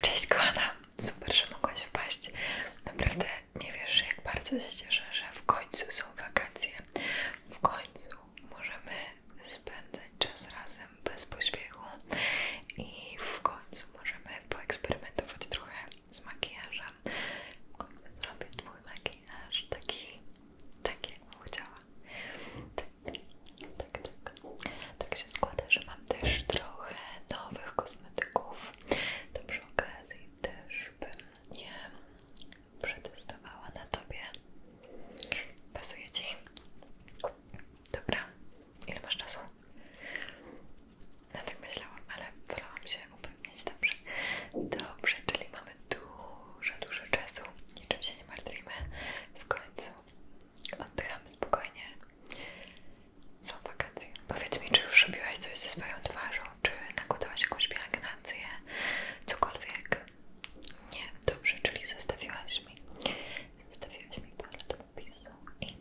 Cześć kochana, super, że mogłaś wpaść. Naprawdę nie wiesz, jak bardzo się cieszę, że w końcu są wakacje. W końcu możemy spędzać czas razem bez pośpiechu i w końcu możemy poeksperymentować trochę z makijażem. W końcu zrobię twój makijaż taki, taki jak bym chciała. Tak, tak, tak. tak. Tak. tak. się składa, że mam też trochę nowych kosmetyków. To przy okazji też bym je przetestowała na tobie. Pasuje ci? Dobra, ile masz czasu? No tak myślałam, ale wolałam się upewnić dobrze. Dobrze, czyli mamy dużo, dużo czasu. Niczym się nie martwimy. W końcu Oddychamy spokojnie. Są wakacje. Powiedz mi, czy już robiłaś coś ze swoją twarzą? Czy nakładałaś jakąś pielęgnację? Cokolwiek? Nie, dobrze, czyli zostawiłaś mi. Zostawiłaś mi parę popisu i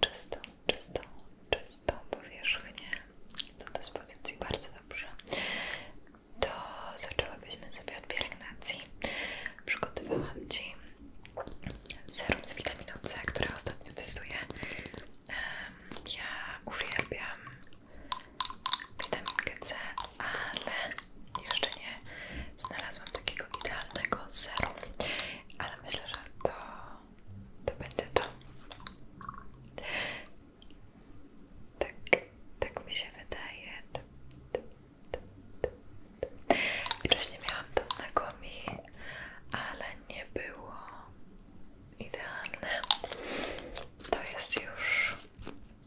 czystą, czystą, czystą powierzchnię do dyspozycji. Bardzo dobrze. To zaczęłabyśmy sobie od pielęgnacji. Przygotowałam Ci serum z witaminą C, które ostatnio testuję. Ja uwielbiam witaminkę C, ale jeszcze nie znalazłam takiego idealnego serum, ale myślę, że to, to będzie to. Tak, tak mi się wydaje. Tak, Wcześniej miałam to znakomi, ale nie było idealne. To jest już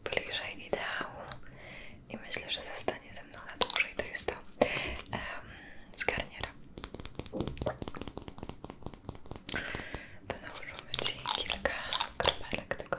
bliżej ideału i myślę, że zostanie ze mną na dłużej. To jest to um, z garniera. Nałożymy Ci kilka kropelek tego.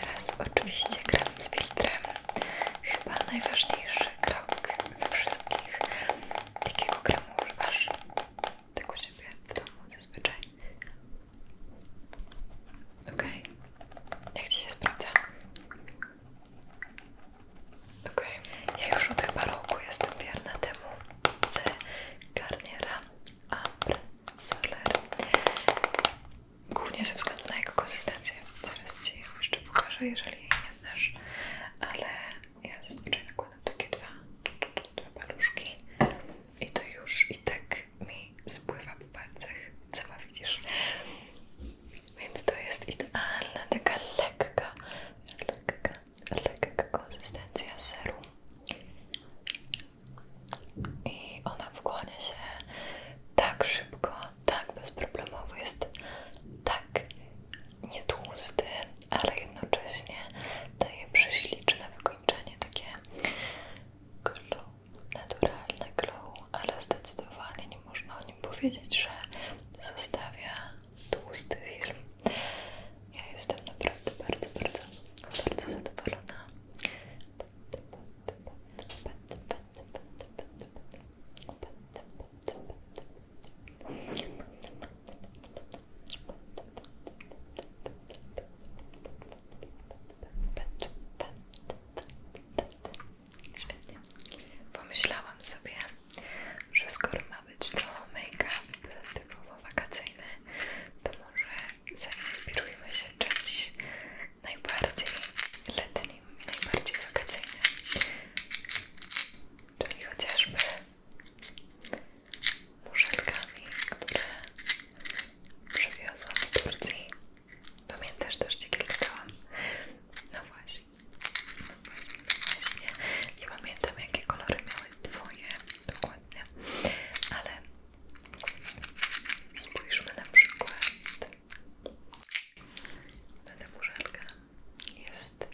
Teraz oczywiście gram z filtrem. Chyba najważniejszy krok ze wszystkich. Jakiego kremu używasz? Tak u Ciebie w domu zazwyczaj. OK. Okay. Jak ci się sprawdza? Okej. Ja już od chyba roku jestem wierna temu z Garniera Ambre Soler. Głównie ze względu na jego konsystencję. Zaraz ci ją jeszcze pokażę, jeżeli jej nie znasz. Ale ja zazwyczaj nakładam takie dwa, dwa paluszki i to już i tak mi spływa po palcach, sama widzisz. Więc to jest idealna, taka lekka, lekka, lekka konsystencja seru. I ona wchłania się tak szybko, tak bez bezproblemowo, jest tak nietłusty, ale jednocześnie daje prześliczne wykończenie, takie glow, naturalne glow, ale zdecydowanie nie można o nim powiedzieć, że zostawia tłusty film. Ja jestem naprawdę bardzo, bardzo, bardzo zadowolona. Świetnie. Pomyślałam sobie, że skoro ma być to make-up typowo wakacyjny, to może zainspirujmy się czymś najbardziej letnim, najbardziej wakacyjnym. Czyli chociażby muszelkami, które przywiozłam z Turcji. Pamiętasz też, gdzie klikałam? No właśnie. No właśnie. Nie pamiętam, jakie kolory miały twoje dokładnie, ale spójrzmy na przykład Ta tę muszelkę. Jest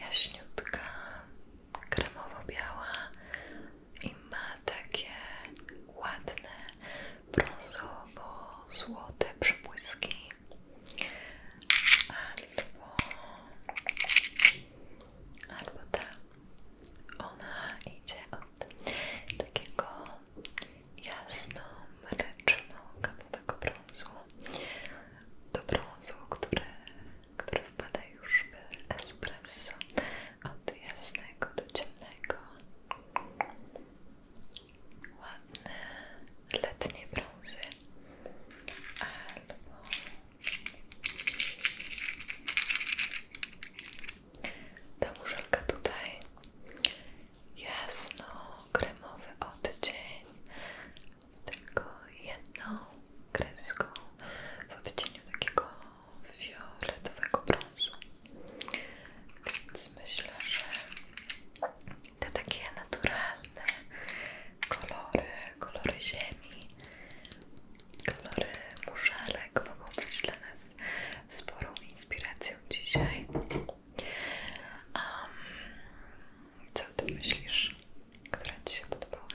jaśniutka, kremowo-biała i ma takie ładne, brązowo-złote przybłyski albo albo ta ona idzie od takiego jasno-mreczno-kawowego brązu do brązu, który który wpada już w espresso od jasnego do ciemnego ładne letnie brązy albo ta muszelka tutaj jasno kremowy odcień z tylko jedną kreską w odcieniu takiego fioletowego brązu. Więc myślę, że te takie naturalne kolory, kolory ziemi, kolory muszalek mogą być dla nas sporą inspiracją dzisiaj. co ty myślisz? która Ci się podobała?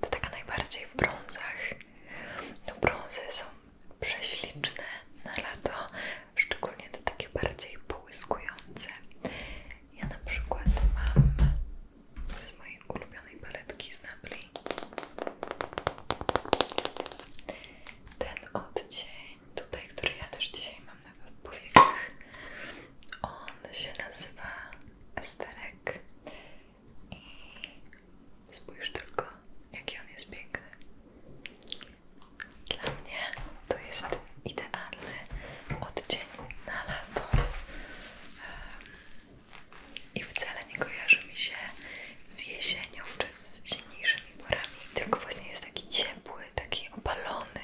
To taka najbardziej w brązach. No brązy są prześliczne na lato, szczególnie te takie bardziej połyskujące. Ja na przykład mam z mojej ulubionej paletki z Napli ten odcień tutaj, który ja też dzisiaj mam na powiekach on się nazywa Esterek i spójrz tylko, jaki on jest piękny. Dla mnie to jest idealny odcień na lato. I wcale nie kojarzy mi się z jesienią czy z silniejszymi porami, tylko właśnie jest taki ciepły, taki opalony.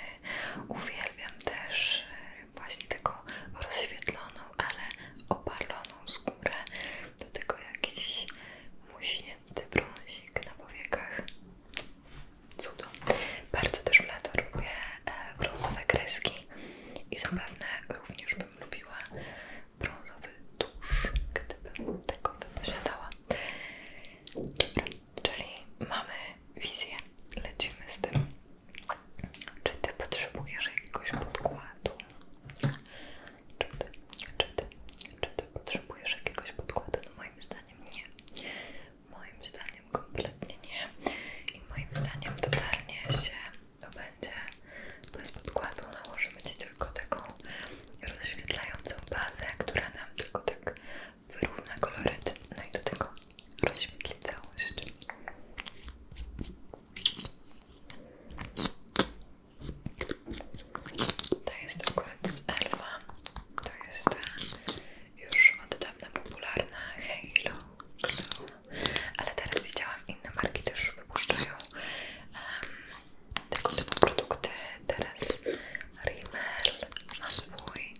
Uwielbiam uwielbiam też e, właśnie taką rozświetloną, ale opaloną skórę, do tego jakiś muśnięty brązik na powiekach. Cudo. Bardzo też w lato lubię e, brązowe kreski i zapewne również bym lubiła brązowy tusz, gdybym tego wyposiadała. Czyli mamy wizję, lecimy z tym. Czy ty potrzebujesz jakiegoś podkładu? Czy ty, czy ty, potrzebujesz jakiegoś podkładu? No moim zdaniem nie. Moim zdaniem kompletnie nie. I moim zdaniem totalnie się to będzie bez podkładu. Nałożymy ci tylko taką rozświetlającą bazę, która nam tylko tak wyrówna koloryt, no i do tego rozświetli całość. To jest akurat z Elfa, to jest e, już od dawna popularna Halo, którą, ale teraz widziałam inne marki też wypuszczają um, tego typu produkty, teraz Rimmel ma swój,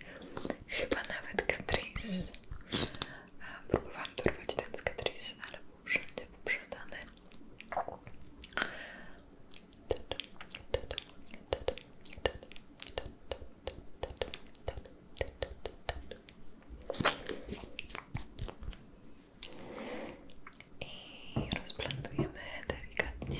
Chyba nawet Catrice. Próbowałam dorwać ten z Catrice, ale był wszędzie poprzedany. I rozplantujemy delikatnie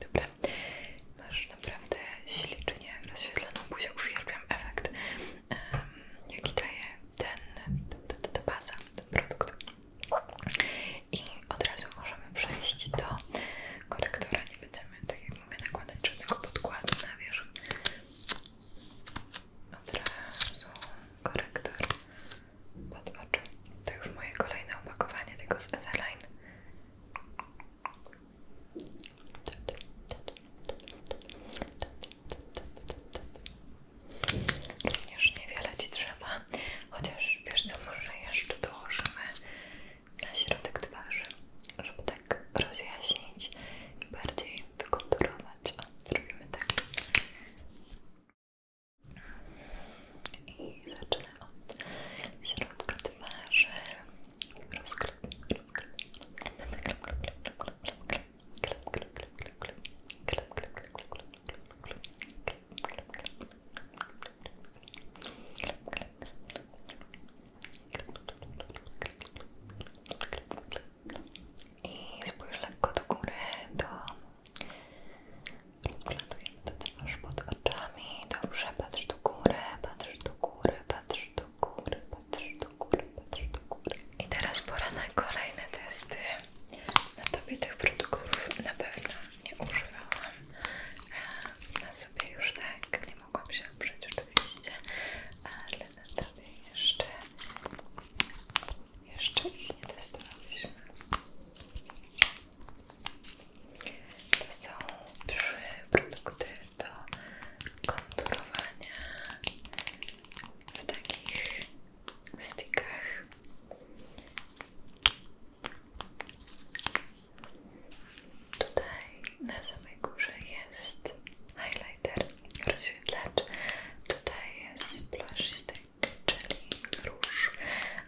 Dobra, masz naprawdę ślicznie rozświetloną buzię, uwielbiam efekt, um, jaki daje ten, ta, ta, ta baza, ten produkt. I od razu możemy przejść do korektora, nie będziemy, tak jak nakładać żadnego podkładu na wierzch, od razu korektor pod To już moje kolejne opakowanie tego z Everline. Również niewiele Ci trzeba, chociaż wiesz co, może jeszcze dołożymy na środek twarzy, żeby tak rozjaśnić i bardziej wykonturować. O, tak. I zaczynamy od środka twarzy. Rozklep, rozklep. Klep, klep, klep, klep, klep, klep, klep, i spójrz lekko do góry, to proklatujemy to, co masz pod oczami. Dobrze, patrz do góry, patrz do góry, patrz do góry, patrz do góry, patrz do góry. I teraz pora na kolejne testy. Na tobie tych produktów na pewno nie używałam. Na sobie już tak nie mogłam się oprzeć oczywiście, ale na tobie jeszcze, jeszcze ich nie testowałyśmy. To są trzy produkty do konturowania w takich stickach. Tutaj na samej górze jest highlighter, rozświetlacz. Tutaj jest blush stick, czyli róż,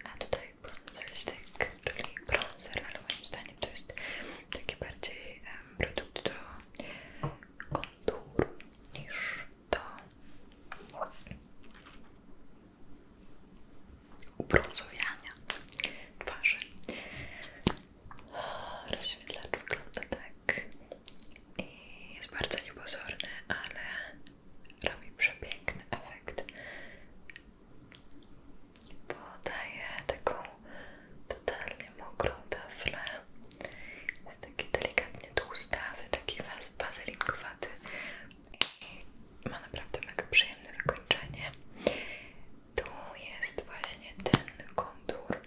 a tutaj bronzer stick, czyli bronzer, ale moim zdaniem to jest taki bardziej produkt do konturu niż do ubrązowiania twarzy. Rozświetlacz wygląda tak i jest bardzo niepozorny, ale robi przepiękny efekt. bo daje taką totalnie mokrą taflę. Jest taki delikatnie tłustawy, taki wazelinkowaty i ma naprawdę mega przyjemne wykończenie tu jest właśnie ten kontur.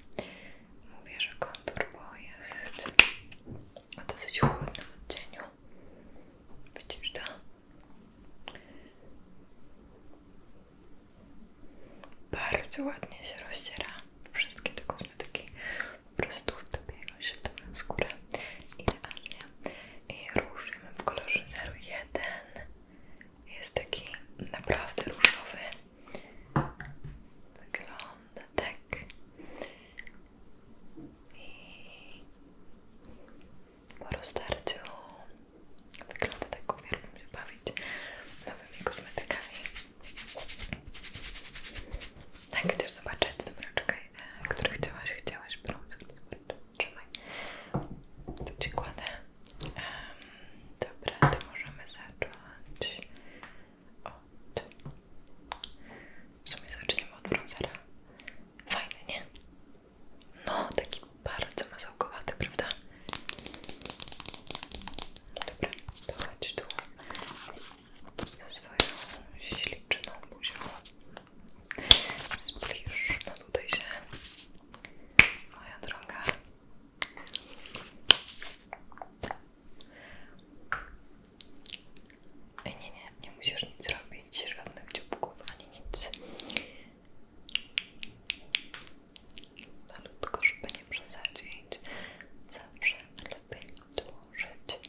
Mówię, że kontur, bo jest o dosyć chłodnym odcieniu. Widzisz to? Bardzo ładnie się rozciera wszystkie te kosmetyki. Po prostu wtapiają się w tą skórę idealnie. I róż w kolorze 01 jest taki naprawdę różowy. Wygląda tak. I po rozdarciu wygląda tak, uwielbiam się bawić nowymi kosmetykami. Tak, chcesz zobaczyć? Dobra, czekaj, e, który chciałaś? Chciałaś brąz? trzymaj. Tu ci kładę. Um, dobra, to możemy zacząć od... W sumie zaczniemy od brązera. Fajny, nie? No, taki bardzo mazałkowaty, prawda? Dobra, to chodź tu ze swoją śliczną buzią. Zbliż, no tutaj się moja droga. Ej, nie, nie, nie musisz nic robić, żadnych dzióbków ani nic. Malutko, żeby nie przesadzić, zawsze lepiej tu dłużyć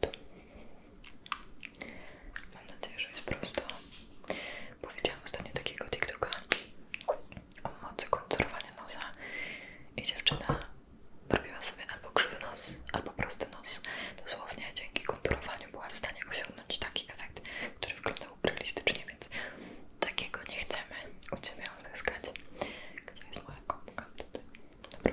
Tu. Mam nadzieję, że jest prosto. Powiedziałam ostatnio takiego TikToka o mocy konturowania nosa i dziewczyna robiła sobie albo krzywy nos, albo prosty nos. Dosłownie dzięki konturowaniu była w stanie osiągnąć taki efekt, który wyglądał realistycznie, więc takiego nie chcemy u Ciebie uzyskać. Gdzie jest moja kopka? Tutaj. Dobra.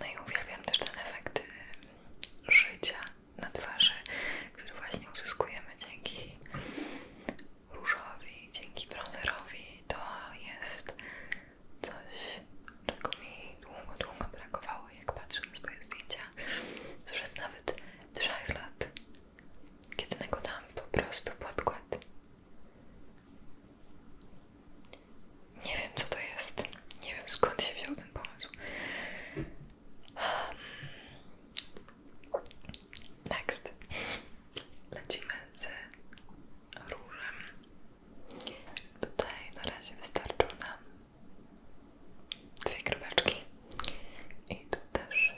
No i uwielbiam też ten efekt y, życia na twarzy, który właśnie uzyskujemy dzięki różowi, dzięki bronzerowi. To jest coś, czego mi długo, długo brakowało, jak patrzę na swoje zdjęcia sprzed nawet 3 lat kiedy nakładam po prostu podkład. Nie wiem, co to jest. Nie wiem, skąd się wziął ten pomysł. Hm. Next. Lecimy z różem. Tutaj na razie wystarczą nam dwie kropeczki. I tu też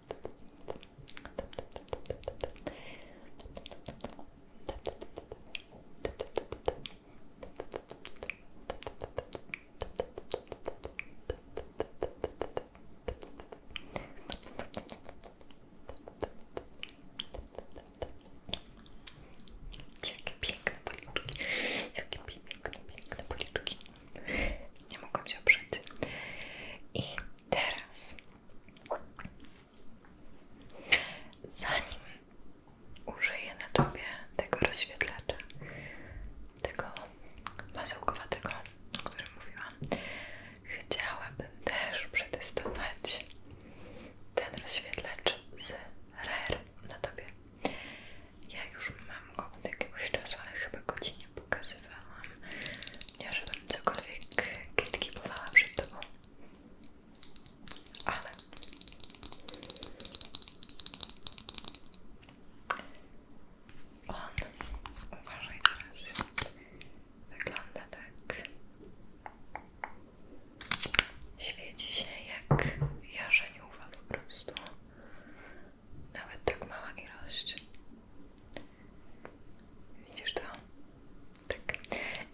Jakie piękne policzki, jakie piękne, piękne policzki. Nie mogę się oprzeć. I teraz Zanim użyję na tobie tego rozświetlacza, tego masełkowatego, o którym mówiłam, chciałabym też przetestować ten rozświetlacz z RER na tobie. Ja już mam go od jakiegoś czasu, ale chyba go ci nie pokazywałam. Nie, żebym cokolwiek krytykowała przed tobą. Ale on, uważaj teraz, wygląda tak, świeci się jak jarzeniuwa po prostu, nawet tak mała ilość. Widzisz to? Tak.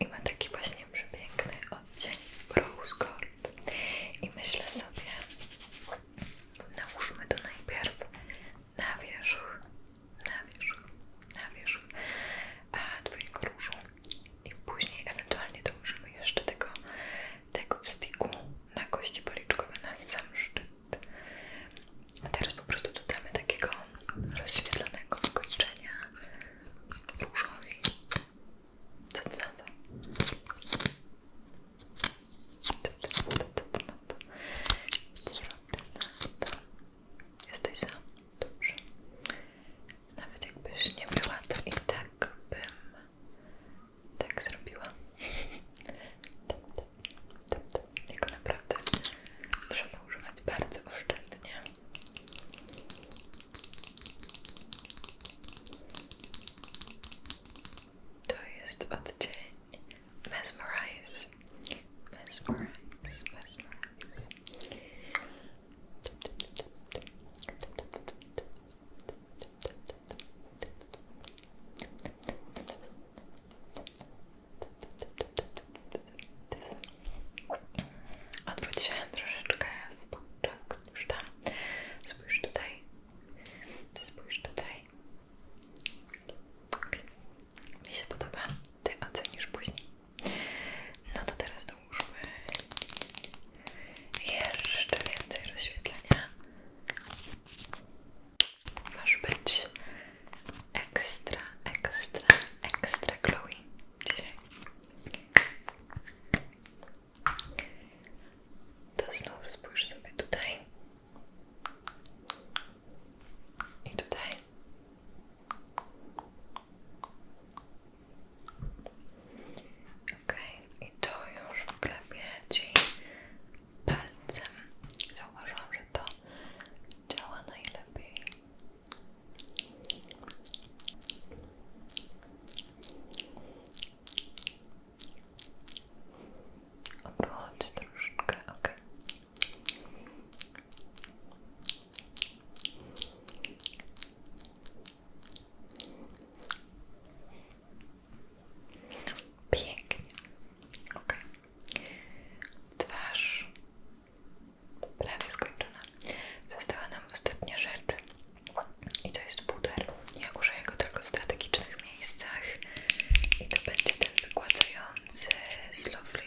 I ma taki właśnie przepiękny odcień Rose Gold. I myślę sobie, nałóżmy to najpierw na wierzch, na wierzch, na wierzch a twojego różu. I później ewentualnie dołożymy jeszcze tego, tego wstyku na kości policzkowe na sam szczyt teraz po prostu dodamy takiego rozświetlonego wykończenia różowi. Co to za to? Jesteś za? Dobrze. Nawet jakbyś nie była, to i tak bym tak zrobiła. Tam, tam, tam, tam. Jego naprawdę trzeba używać bardzo oszczędnie. To jest odcień Mesmerize. Mesmerize, mesmerize. Odwróć się troszeczkę w boczek, tak, już tam. Spójrz tutaj. Spójrz tutaj. Okay. Mi się podoba. Ty ocenisz później. No to teraz dołóżmy jeszcze więcej rozświetlenia. Masz być ekstra, ekstra, ekstra glowy dzisiaj. sobie tutaj i tutaj. Okej, okay. i to już wklepie Ci palcem. Zauważyłam, że to działa najlepiej. Obróć Pięknie, ok. Twarz prawie skończona. Została nam ostatnia rzecz i to jest puder. Ja użyję go tylko w strategicznych miejscach i to będzie ten wygładzający z Lovely.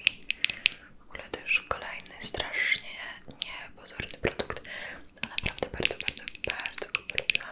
W ogóle też kolejny strasznie niepozorny produkt, a naprawdę bardzo, bardzo, bardzo go polubiłam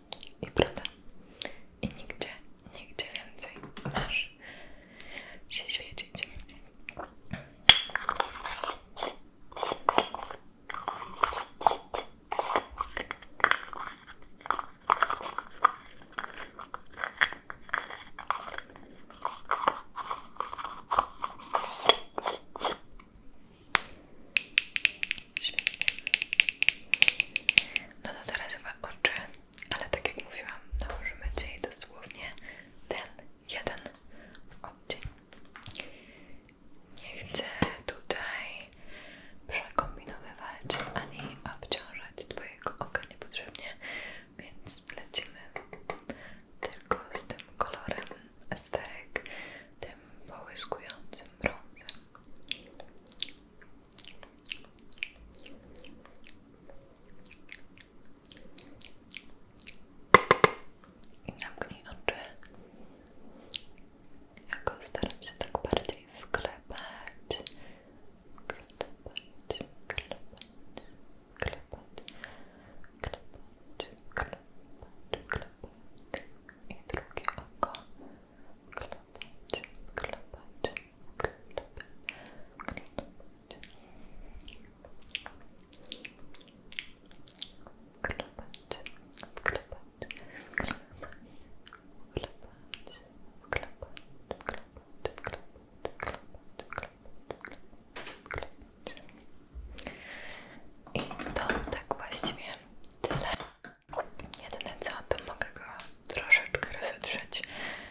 i broda i nigdzie, nigdzie więcej masz się świecić Świetnie. No to teraz chyba oczy, ale tak jak mówiłam, nałożymy dzisiaj dosłownie ten jeden odcień. Nie chcę tutaj przekombinowywać ani obciążać Twojego oka niepotrzebnie, więc lecimy tylko z tym kolorem esterek, tym połyskującym brązem. I zamknij oczy. Jako staram się tak bardziej wklepać, wklepać, wklepać, wklepać, wklepać, wklepać, wklepać. I drugie oko. Klepać, klepać, klepać, klepać. Wklepać, wklepać, wklepać, wklepać, wklepać, wklepać, wklepać, wklepać, wklepać, wklepać. I to tak właściwie tyle. Jedyne co, to mogę go troszeczkę rozetrzeć,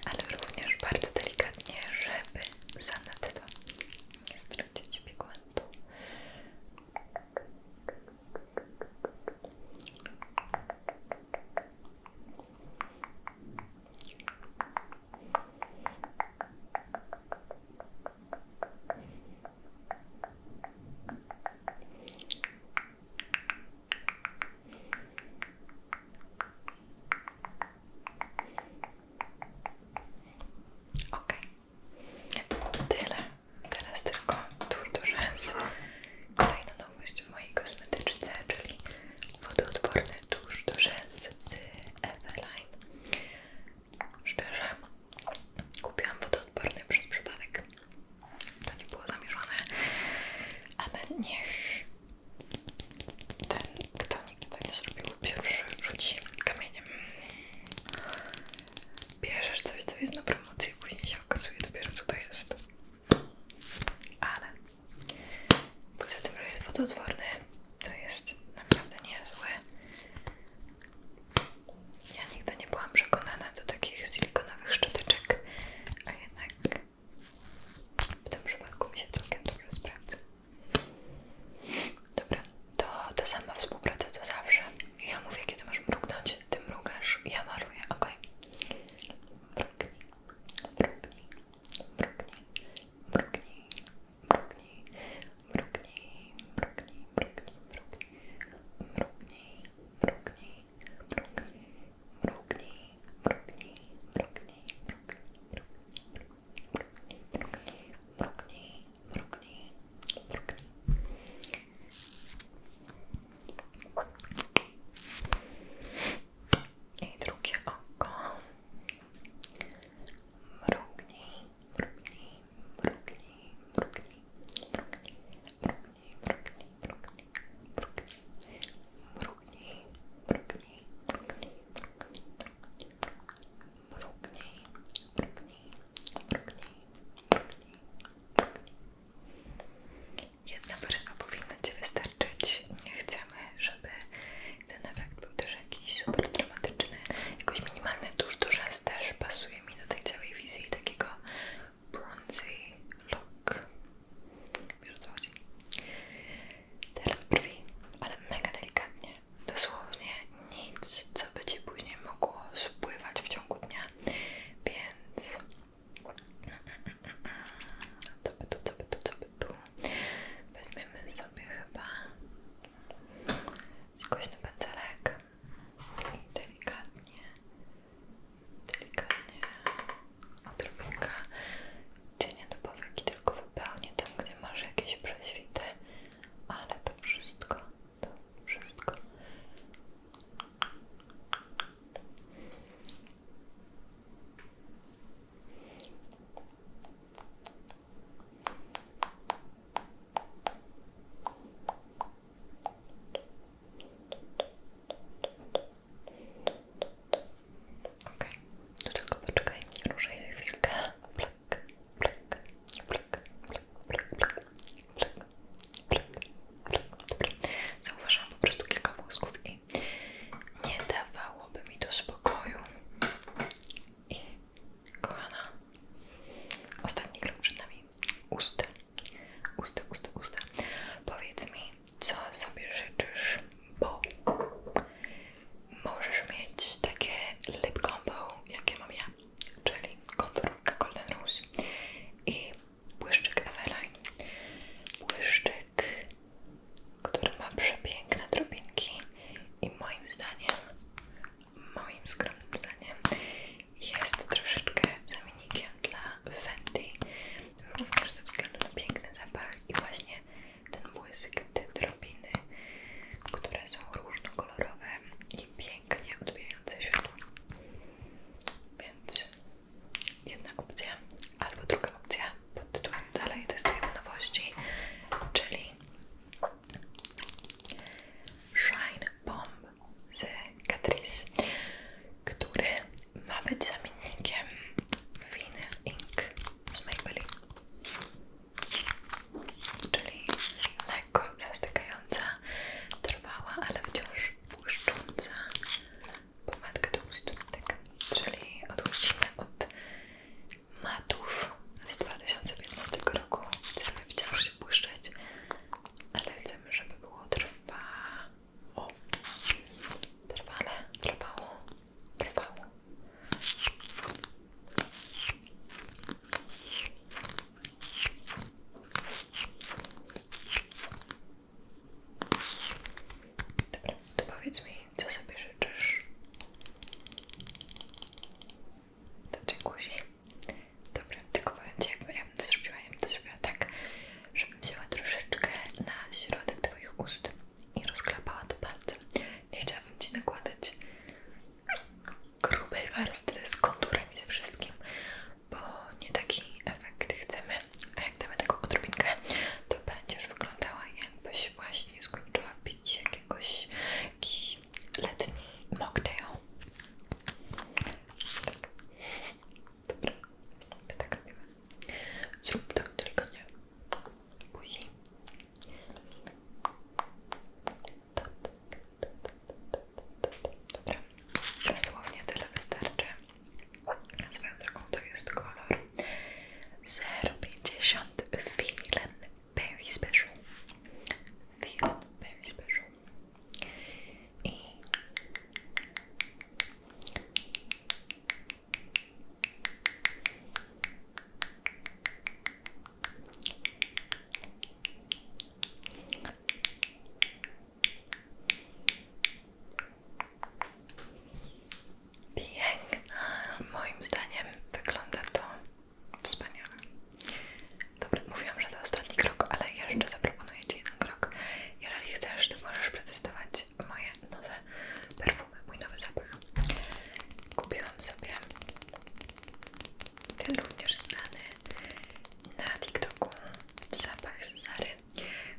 ale również bardzo delikatnie, żeby zanadto nie stracić pigmentu. Ok, tyle. Teraz tylko Tour de Rens. Tak. Kolejna nowość w mojej kosmetyczce, czyli wodoodporny tusz do rzęs z Eveline. Szczerze, Kupiłam wodoodporny przez przypadek. To nie było zamierzone, ale niech ten, kto nigdy tak nie zrobił, pierwszy rzuci kamieniem. Bierzesz coś, co jest na promocji, później się okazuje dopiero co jest. Ale poza tym, że jest wodoodporny, to jest naprawdę niezły. Ja nigdy nie byłam przekonana do takich silikonowych szczoteczek, a jednak w tym przypadku mi się całkiem dobrze sprawdza. Dobra, to ta sama współpraca co zawsze. Ja mówię, kiedy masz mrugnąć, ty mrugasz, ja maluję, ok? Mrugnij, mrugnij, mrugnij, mrugnij, mrugnij, mrugnij, mrugnij, mrugnij, mrugnij, mrugnij, mrugnij, Брукни, брукни, брукни, брукни, брукни, брукни, брукни, брукни, брукни. И другие око. Брукни, брукни, брукни, брукни, брукни, mrugnij, mrugnij, mrugnij, mrugnij, mrugnij, mrugnij, mrugnij, mrugnij, mrugnij, mrugnij, mrugnij. Jedna warstwa powinna Ci wystarczyć. Nie chcemy, żeby ten efekt był też jakiś super dramatyczny. Jakoś minimalny dużo, do rzęs też pasuje mi do tej całej wizji takiego bronzy look. Wiesz o co chodzi? Teraz brwi, ale mega delikatnie. Dosłownie nic, co by Ci później mogło spływać w ciągu dnia. Więc... Co by tu, co by tu, co by tu? Weźmiemy sobie chyba skośny pędzelek delikatnie, delikatnie odrobinka cienia do powieki tylko wypełnię tam, gdzie masz jakieś prześwity, ale to wszystko, to wszystko Okej, okay. tylko poczekaj, ruszaj chwilkę. Plak, plak, plak, plak, plak, plak, plak, plak, Dobra, zauważyłam po prostu kilka włosków i nie dawałoby mi to spokoju. I kochana, ostatni krok przed nami. Usta usta, usta, usta. Powiedz mi, co sobie życzysz, bo możesz mieć takie lip combo, jakie mam ja, czyli konturówka Golden Rose i błyszczyk Eveline. Błyszczyk, który ma przepiękne drobinki i moim zdaniem moim skromnym zdaniem jest troszeczkę zamiennikiem dla Fenty również ze względu na piękny zapach i właśnie ten błysk, te drobiny które są różnokolorowe i pięknie odbijające się, więc jedna opcja albo druga opcja pod tytułem dalej testujemy nowości czyli Shine Bomb z Catrice, który ma być zamiennikiem fine Ink z Maybelline, czyli lekko zastykająca, trwała, ale wciąż błyszcząca pomadka do ust, tak. czyli odchodzimy od matów z 2015 roku, chcemy wciąż się błyszczeć ale chcemy, żeby było trwało. Trwale, trwało, trwało. Dobra, to powiedz mi, co sobie życzysz. Do dziękuję. Dobra, tylko powiem Ci, jakby ja bym to zrobiła, ja bym to zrobiła tak, żebym wzięła troszeczkę na środek Twoich ust i rozklapała to bardzo. Nie chciałabym Ci nakładać grubej warstwy z konturem i ze wszystkim, bo nie taki efekt chcemy. A jak damy taką odrobinkę, to będziesz wyglądała jakbyś właśnie skończyła pić jakiegoś, jakiś letni mocktail. Tak. Dobra, to tak robimy. Zrób tak delikatnie. Buzi. Dobra, dosłownie tyle wystarczy. Swoją drogą to jest kolor 050 Feeling Very Special. Feeling Special. I moim zdaniem wygląda to Wspaniale. Dobra, mówiłam, że to ostatni krok, ale jeszcze zaproponuję Ci jeden krok. Jeżeli chcesz, to możesz przetestować moje nowe perfumy, mój nowy zapach. Kupiłam sobie ten również znany na TikToku zapach z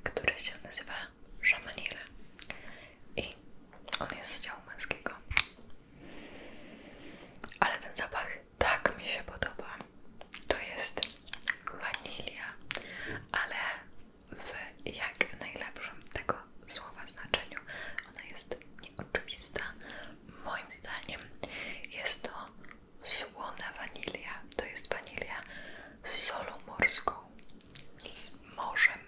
który się nazywa Shamanile i on jest z działu męskiego. Ale ten zapach tak mi się podoba. To jest wanilia, ale w jak najlepszym tego słowa znaczeniu. Ona jest nieoczywista. Moim zdaniem jest to słona wanilia. To jest wanilia z solą morską, z morzem,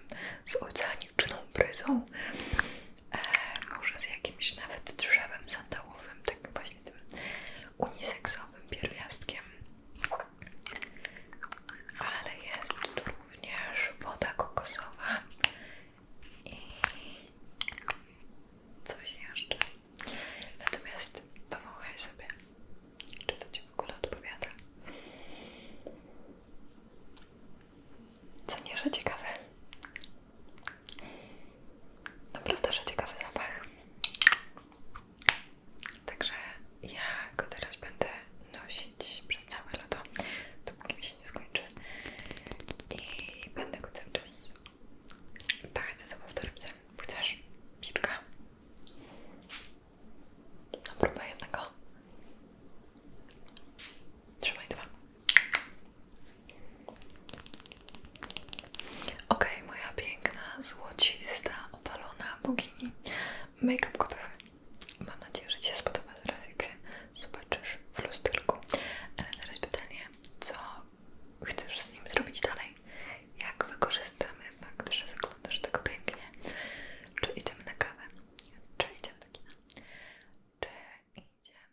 z oceaniczną bryzą. E, może z jakimś nawet drzewem sandałowym, tak właśnie tym uniseksowym pierwiastkiem. Ale jest tu również woda kokosowa i coś jeszcze. Natomiast powąchaj sobie, czy to Ci w ogóle odpowiada. Co nie, że ciekawe. Naprawdę, że ciekawy zapach. Także ja go teraz będę nosić przez całe lato, dopóki mi się nie skończy. I będę go cały czas pachać za sobą w torebce. Chcesz? Psiczka? Próbuję próbę jednego. Trzymaj dwa. Ok, moja piękna, złocista, opalona bogini. Make-up gotowy. Mam nadzieję, że Ci się spodoba teraz, jak się zobaczysz w lusterku. Ale teraz pytanie, co chcesz z nim zrobić dalej? Jak wykorzystamy fakt, że wyglądasz tak pięknie? Czy idziemy na kawę? Czy idziemy do kina? Czy idziemy...